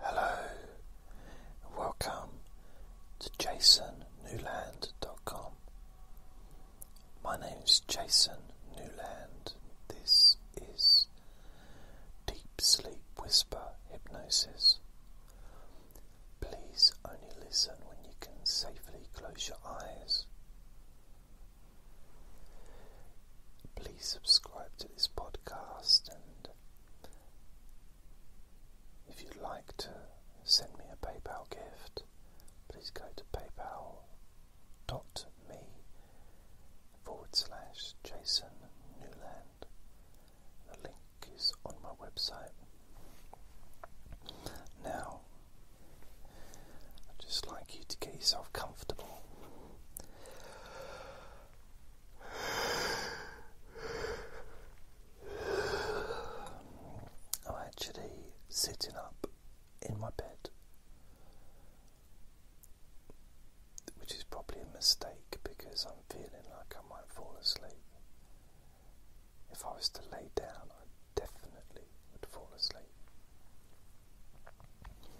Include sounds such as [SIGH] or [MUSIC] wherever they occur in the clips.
Hello, and welcome to jasonnewland.com. My name is Jason Newland. This is Deep Sleep Whisper Hypnosis. Please only listen when you can safely close your eyes. Please subscribe to this podcast and if you'd like to send me a PayPal gift, please go to paypal. dot me forward slash Jason Newland. The link is on my website. Now, I'd just like you to get yourself comfortable. I'm actually sitting up in my bed, which is probably a mistake because I'm feeling like I might fall asleep. If I was to lay down, I definitely would fall asleep.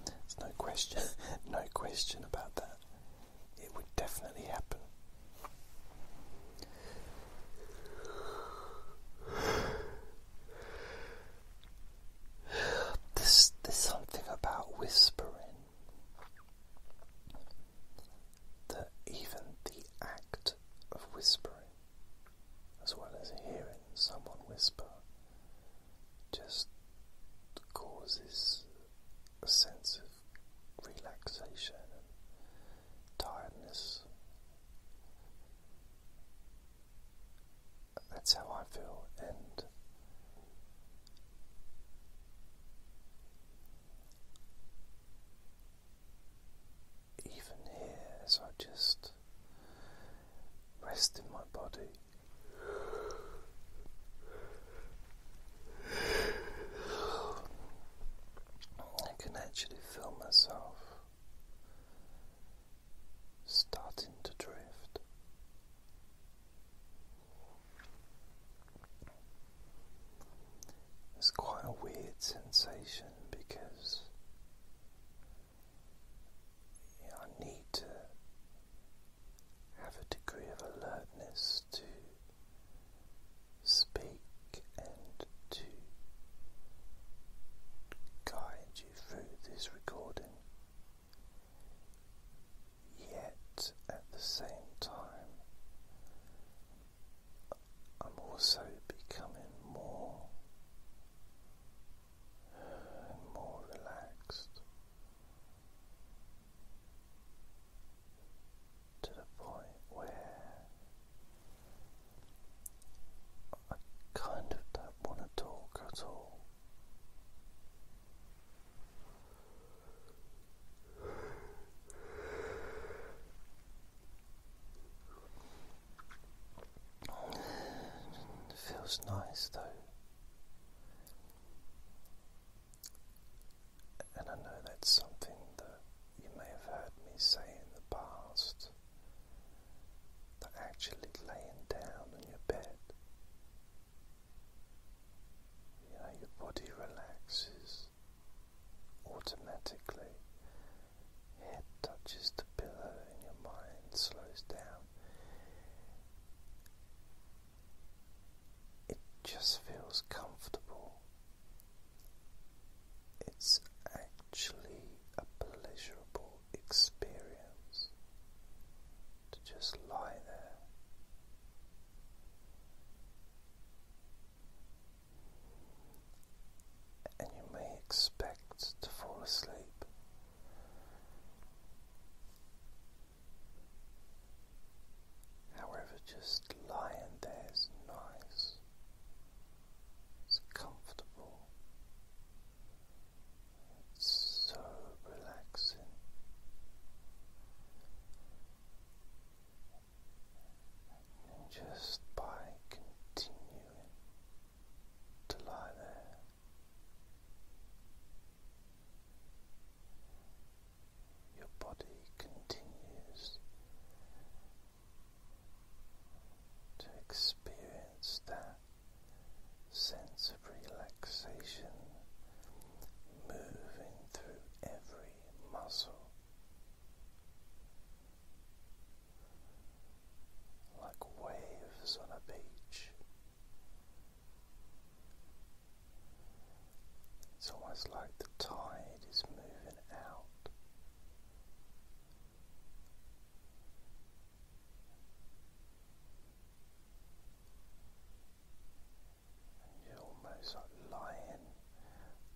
There's no question, [LAUGHS] no question about that. It would definitely happen. There's, there's something about whispering that even the act of whispering, as well as hearing someone whisper, just causes a sense of relaxation and tiredness. That's how I feel, and even here, as I just rest in my body. I can actually feel myself starting to drift. It's quite a weird sensation because I need to have a degree of alertness to speak and to guide you through this recording. Yet at the same time, I'm also becoming more and more relaxed to the point where I kind of don't want to talk at all. It feels nice though and I know that's something that you may have heard me say in the past that actually laying down on your bed, you know, your body relaxes automatically, head touches the pillow, and your mind slows down. It just feels comfortable. It's actually a pleasurable experience to just lie there. And you may expect to fall asleep, However, just lying there is nice, it's comfortable, it's so relaxing. just by continuing to lie there, your body continues to experience that sense of relaxation moving through every muscle like waves on a beach. It's almost like the tide is moving out. And you're almost like lying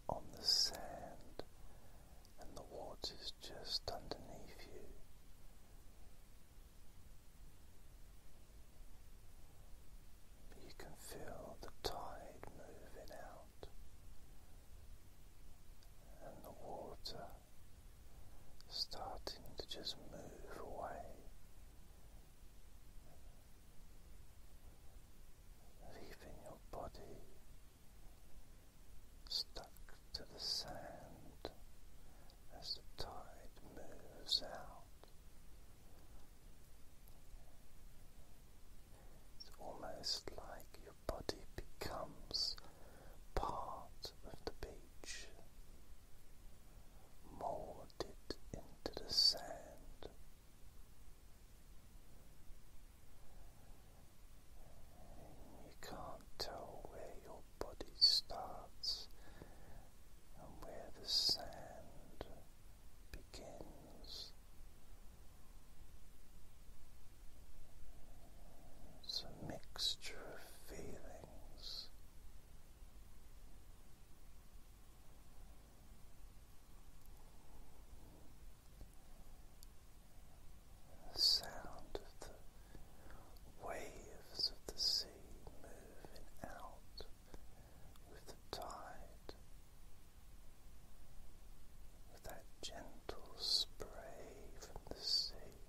on the sand, and the water's just underneath you. You can feel the tide moving out and the water starting to just move away. Leaving your body stuck to the sand as the tide moves out. It's almost like your body becomes part of the beach, molded into the sand you can't tell where your body starts and where the sand begins. It's a mixture of feelings the sound of the waves of the sea moving out with the tide, with that gentle spray from the sea,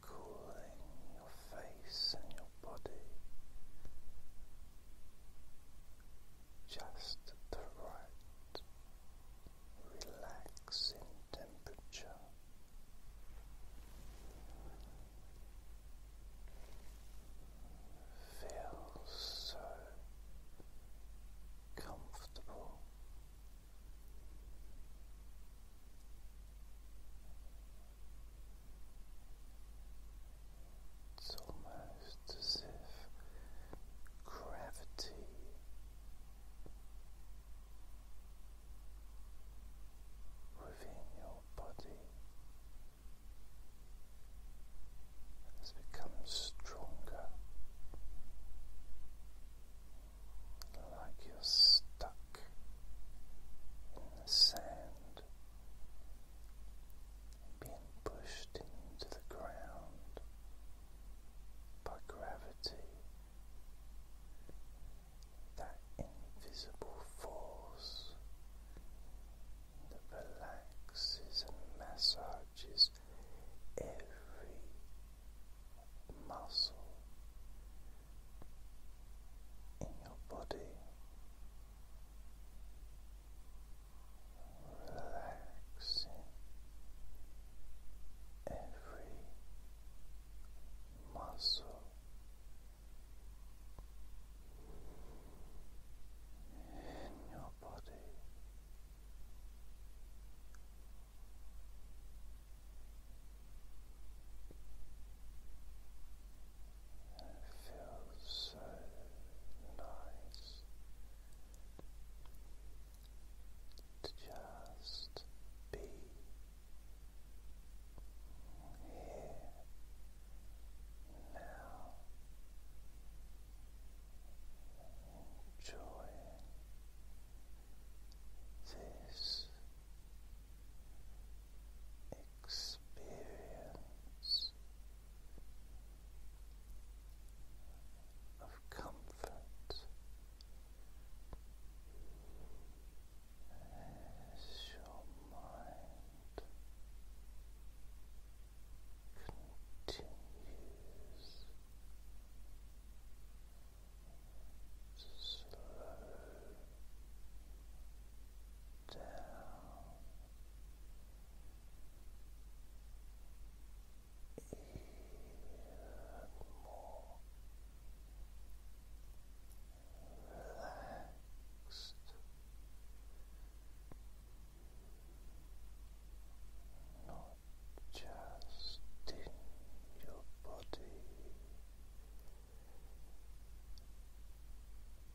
cooling your face and your body. Just the right relax in temperature. Feel so comfortable. It's almost almost as if gravity within your body has become stronger, like you're stuck in the sand. Being pushed into the ground, by gravity, that invisible force relaxes and massages every muscle in your body relaxing every muscle in your body. feels so nice to just be here now, enjoying this experience of comfort as your mind continues to slow down relaxed. Not just in your body,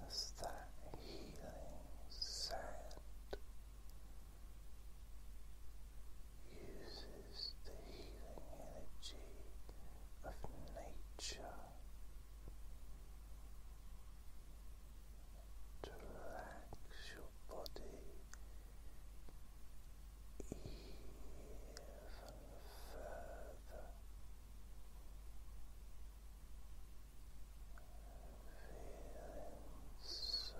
This that healing sand uses the healing energy of nature to relax your body even further. Feeling so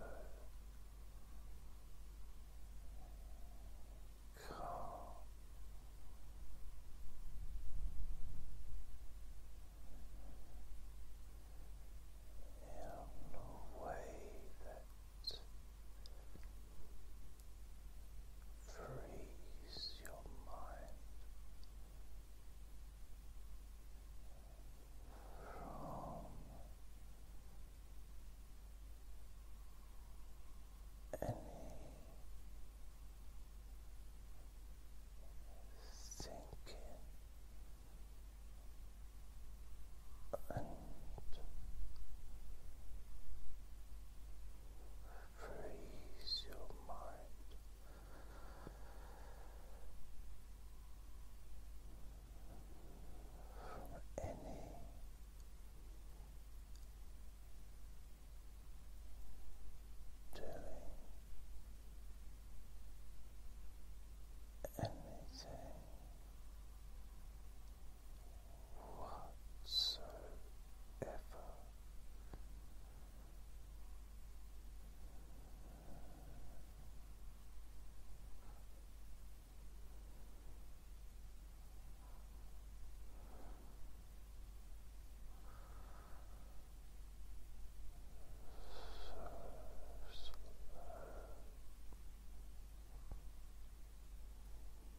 calm in a way that freeze your mind from any thinking freeze your mind. For any doing anything whatsoever. So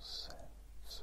there's a real sense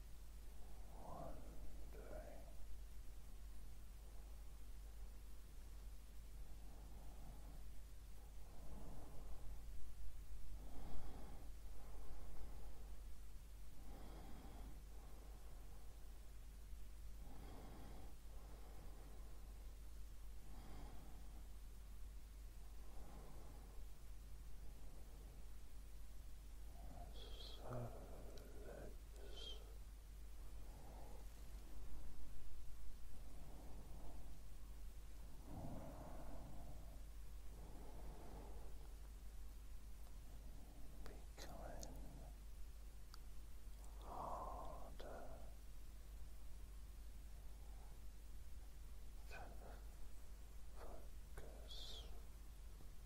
wondering so becoming harder to focus.